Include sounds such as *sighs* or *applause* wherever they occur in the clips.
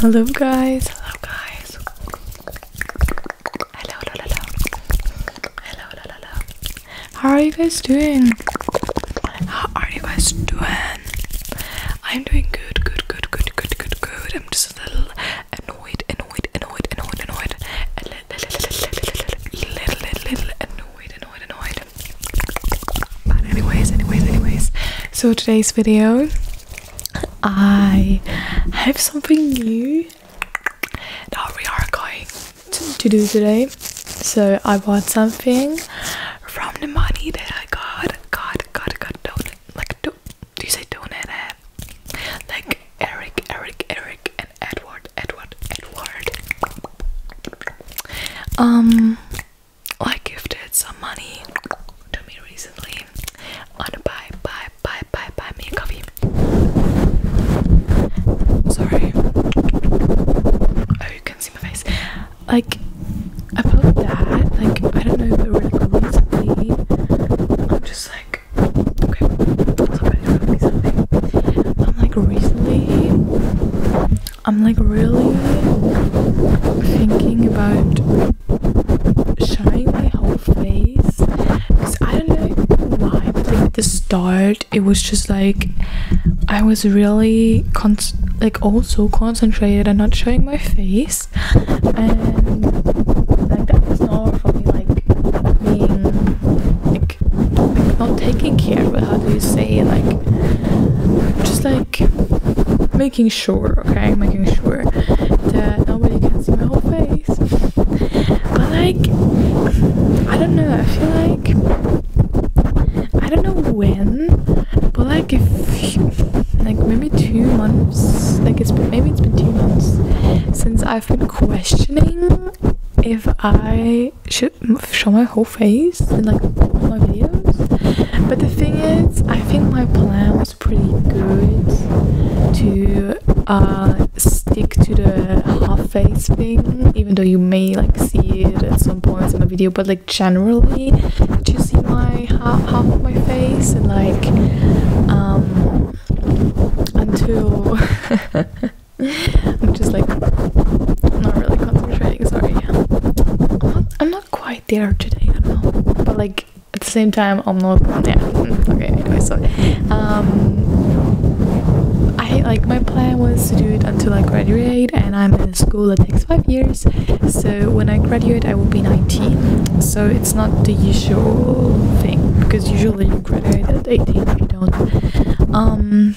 Hello guys, hello guys. Hello, hello, hello. Hello, hello, hello. How are you guys doing? How are you guys doing? I'm doing good, good, good, good, good, good, good. I'm just a little annoyed, annoyed, annoyed, annoyed, annoyed. A little, little, little, little, little, little, little annoyed, annoyed, annoyed. But anyways, anyways, anyways. So today's video, I have something new that we are going to, to do today. So I bought something from the money that I got. God, God, God, don't like do, do you say donate? Eh? Like Eric, Eric, Eric, and Edward, Edward, Edward. Um, I gifted some money to me recently I a buy, buy, buy, buy, buy me a coffee. Sorry. Oh, you can not see my face. Like, about that, like, I don't know, but really recently, I'm just like, okay, I'm like, recently, I'm like really thinking about showing my whole face because I don't know why, but at the start, it was just like I was really con like also concentrated and not showing my face, and like that was not for me like being like, like not taking care. But how do you say like just like making sure, okay, making sure that nobody can see my whole face. But like, I don't know. I feel like I don't know when, but like if like maybe two months, like it's been, maybe it's been two months since I've been questioning if I should show my whole face in like all my videos. But the thing is, I think my plan was pretty good to uh, stick to the half face thing, even though you may like see it at some points in my video. But like generally, you see my half half of my face and like um until *laughs* I'm just like not really concentrating. Sorry. i I'm, not quite there today, But like at the same time, I'm not. Yeah. Mm, okay. Anyway, so um, I like my plan was to do it until I graduate, and I'm in a school that takes five years. So when I graduate, I will be 19. So it's not the usual thing because usually you graduate at 18 if don't. Um,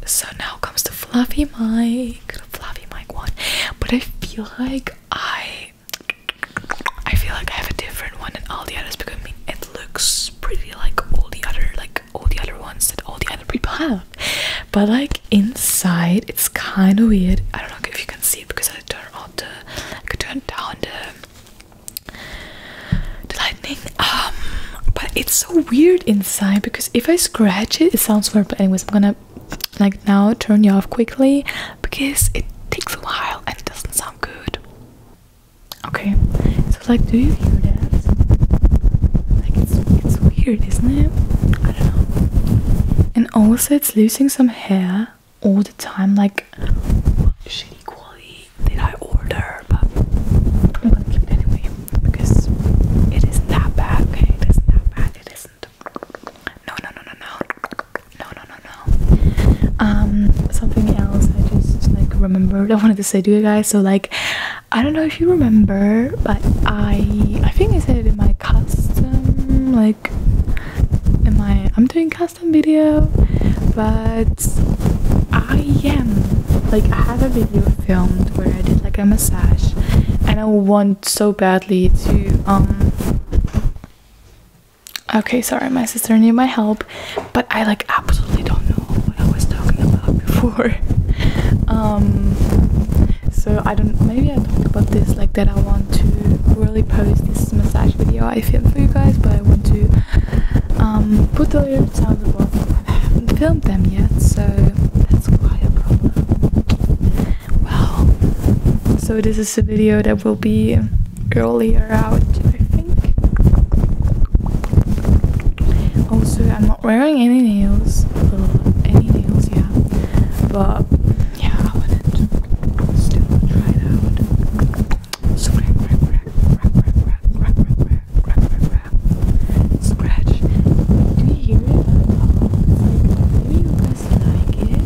So now comes the fluffy mic, the fluffy mic one. But I feel like I, I feel like I have a different one than all the others because I mean it looks pretty like all the other like all the other ones that all the other people have. But like inside, it's kind of weird. I don't know if you can see it because I turned on the, I could turn down the the lightning um but it's so weird inside because if i scratch it it sounds weird but anyways i'm gonna like now turn you off quickly because it takes a while and it doesn't sound good okay so like do you hear that like it's, weird isn't it i don't know and also it's losing some hair all the time like did I order, but anyway because it isn't bad. Okay, it isn't bad. It isn't. No, no, no, no, no, no, no, no, no. Um, something else I just like remembered I wanted to say to you guys. So like, I don't know if you remember, but I I think I said it in my custom like in my I'm doing custom video, but I am like I have a video filmed where I did like a massage and I want so badly to um okay sorry my sister needed my help but I like absolutely don't know what I was talking about before *laughs* um so I don't maybe I talked about this like that I want to really post this massage video I filmed for you guys but I want to put the lyrics on the I haven't filmed them yet, so that's quite a problem. Well, so this is a video that will be earlier out, I think. Also, I'm not wearing any nails. Well, any nails, yeah. But yeah, I wouldn't still try it out. So scratch. Do you hear it? do you guys like it?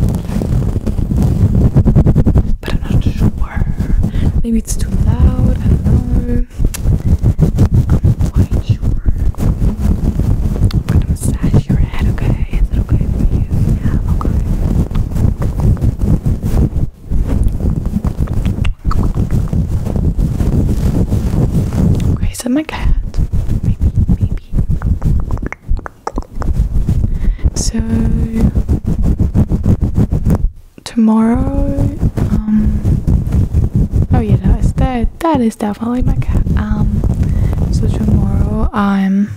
but I'm not sure. Maybe it's too loud. I don't know. i quite sure. I'm gonna massage your head. Okay, is it okay for you? Yeah, okay. Okay, is my cat? Maybe, maybe. So tomorrow, um, oh yeah that is that that is definitely my cat. Um so tomorrow I'm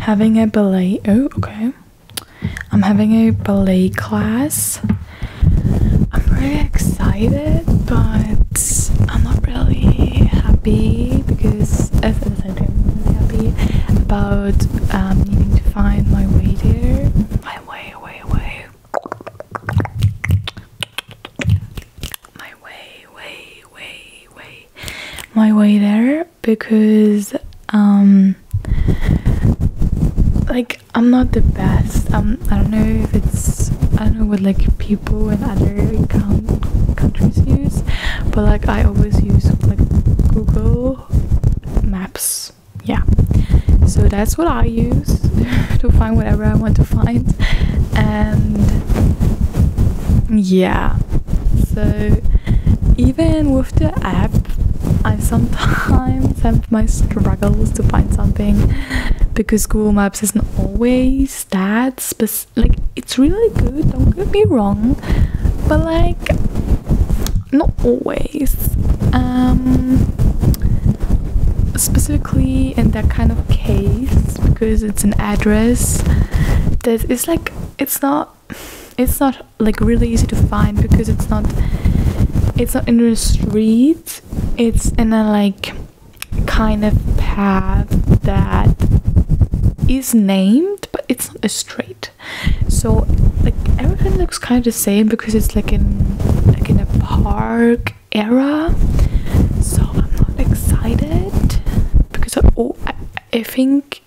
having a ballet oh okay I'm having a ballet class. I'm really excited, but I'm not really happy because at uh, the same time I'm really happy about um, needing to find my way there. My way, way, way. My way, way, way, way. My way there because um, like i'm not the best um i don't know if it's i don't know what like people in other com- countries use but like i always use like google maps yeah so that's what i use *laughs* to find whatever i want to find and yeah so even with the app I sometimes have my struggles to find something because Google Maps isn't always that spec like it's really good, don't get me wrong, but like not always. Um specifically in that kind of case because it's an address that is like it's not it's not like really easy to find because it's not it's not in the street it's in a like kind of path that is named but it's not a street so like everything looks kind of the same because it's like in like in a park era so i'm not excited because oh, I, I think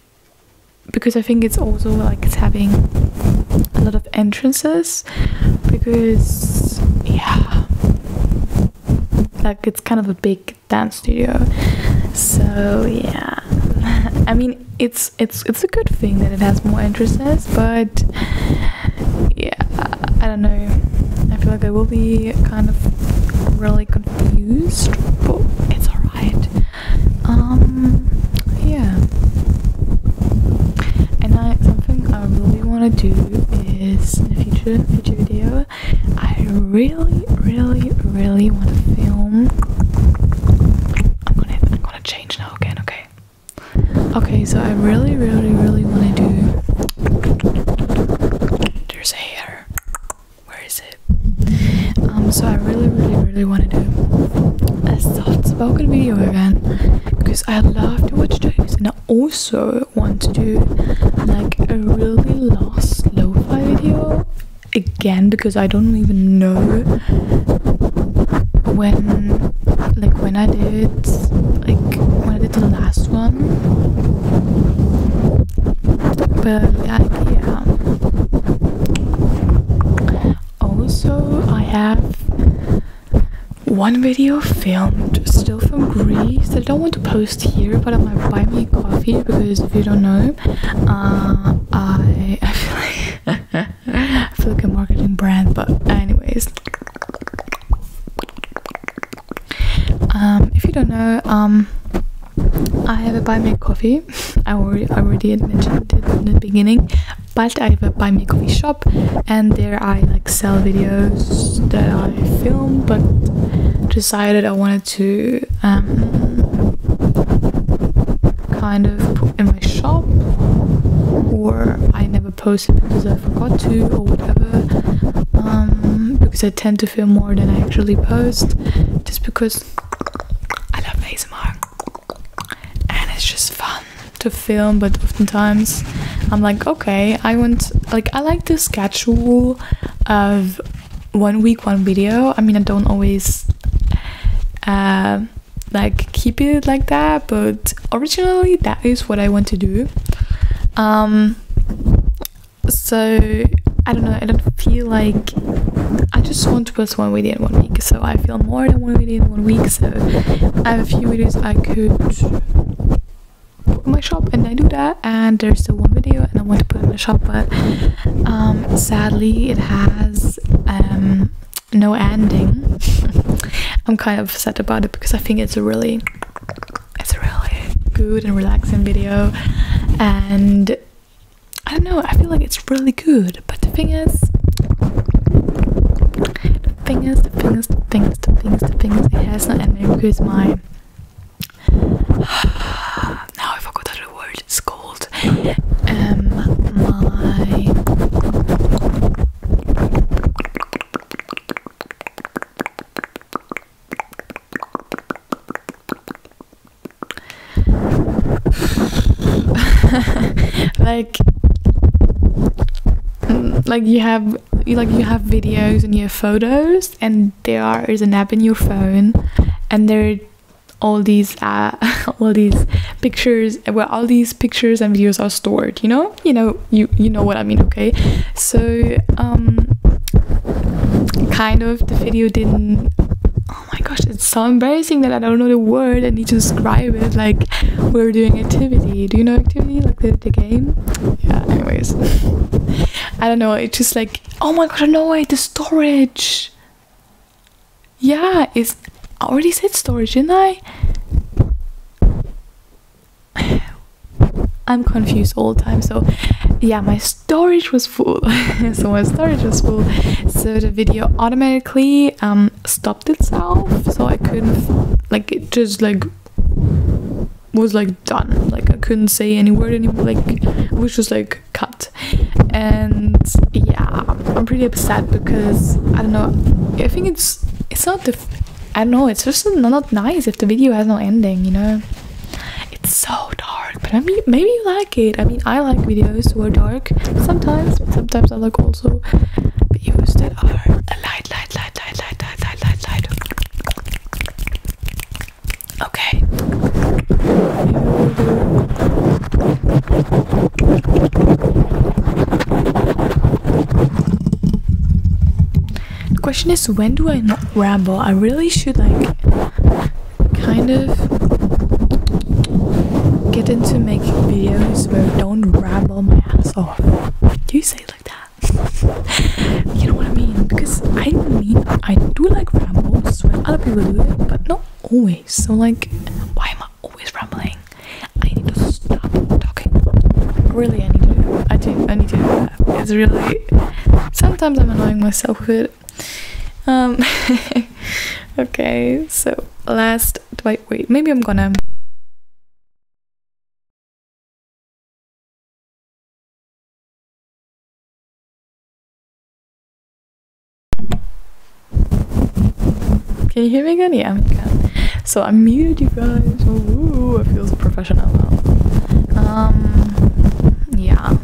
because I think it's also like it's having a lot of entrances because yeah like it's kind of a big dance studio so yeah *laughs* I mean it's it's it's a good thing that it has more entrances but yeah I don't know I feel like I will be kind of really confused but it's alright right um, yeah and I something I really want to do is in a future future video I really really really want to film I'm gonna I'm gonna change now again okay okay so I really really really want to do there's hair where is it? Um, so I really, really, really want to do a soft spoken video again because I love to watch those, and I also want to do like a really lost lo-fi video again because I don't even know when, like when I did, like when I did the last one but yeah um, also i have one video filmed still from greece i don't want to post here but i am gonna buy me a coffee because if you don't know uh, *laughs* i, feel like i feel a marketing brand but anyways um if you don't know um I have a buy me coffee. I already, mentioned it in the beginning, but I have a buy me coffee shop, and there I like sell videos that I film. But decided I wanted to um, kind of put in my shop, or I never posted because I forgot to, or whatever. Um, because I tend to film more than I actually post just because I love ASMR and it's just fun to film but oftentimes I'm like okay I want like I like the schedule of one week one video I mean I don't always uh, like keep it like that but originally that is what I want to do um so I don't know, I don't feel like I just want to post one video in one week, so I feel more than one video in one week, so I have a few videos I could put in my shop and I do that and there's the one video and I want to put in the shop but um, sadly it has um, no ending. *laughs* I'm kind of upset about it because I think it's a really it's a really good and relaxing video and I don't know, I feel like it's really good, but the thing is the thing is, the thing is, the thing is, the thing is, the thing is, it has not and it goes my now I forgot the word it's called um my *laughs* like mm, like you have like you have videos and your photos and there is an app in your phone and there are all these uh, *laughs* all these pictures where all these pictures and videos are stored you know you know you you know what i mean okay so, um, kind of the video didn't. Oh my gosh, it's so embarrassing that I don't know the word I need to describe it. Like, we're doing activity. Do you know activity? Like the, the game? Yeah, anyways. *laughs* I don't know. It's just like, oh my gosh, no way, the storage. Yeah, it's. I already said storage, didn't I? *sighs* I'm confused all the time. So, yeah, my storage was full. *laughs* so my storage was full. So the video automatically um, stopped itself. So I couldn't like it just like was like done. Like I couldn't say any word anymore. Like it was just like cut. And yeah, I'm pretty upset because I don't know. I think it's it's not the I don't know, it's just not nice if the video has no ending, you know? It's so dark, but I mean, maybe you like it. I mean, I like videos who are dark sometimes, but sometimes I like also videos that are light, light, light, light, light, light, light, light, light. Okay. The question is, when do I not ramble? I really should like kind of get into making videos where I don't ramble my ass off. Do you say it like that? *laughs* you know what I mean? Because I mean, I do like ramble when other people do it, but not always. So like, why am I always rambling? I need to stop talking. Really, I need to. I do. I need to it's really sometimes i'm annoying myself with it um, *laughs* okay so last wait wait maybe i'm gonna Can you hear me again? So I'm muted, you guys. Oh, ooh, it feels professional now. Um, yeah.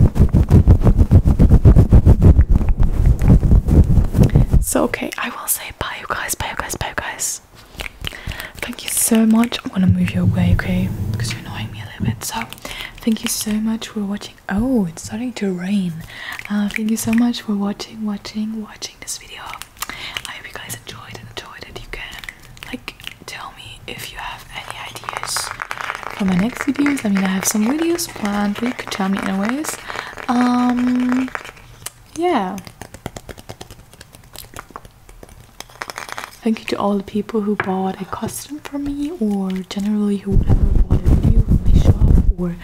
So okay, I will say bye, you guys. Bye, you guys. Bye, you guys. Thank you so much. I'm gonna move you away, okay? Because you're annoying me a little bit. So, thank you so much for watching. Oh, it's starting to rain. Uh, thank you so much for watching, watching, watching this video. I hope you guys enjoyed and enjoyed it. You can like tell me if you have any ideas for my next videos. I mean I have some videos planned, but you could tell me anyways. Um yeah. Thank you to all the people who bought a custom for me or generally whoever whatever bought a video from my shop or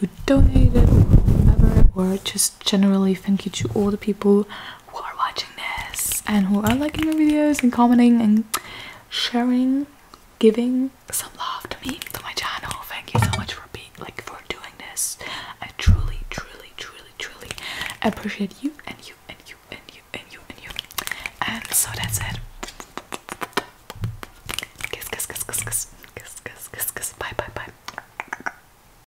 who donated or whatever or just just generally thank you to all the people who are watching this and who are liking my videos and commenting and sharing, giving some love to me, to my channel. Thank you so much for being like for doing this. I truly, truly, truly, truly appreciate you and you and you and you and you and you. And so that's it. Kiss, kiss, kiss, kiss, kiss, kiss, kiss, kiss, kiss. Bye, bye, bye.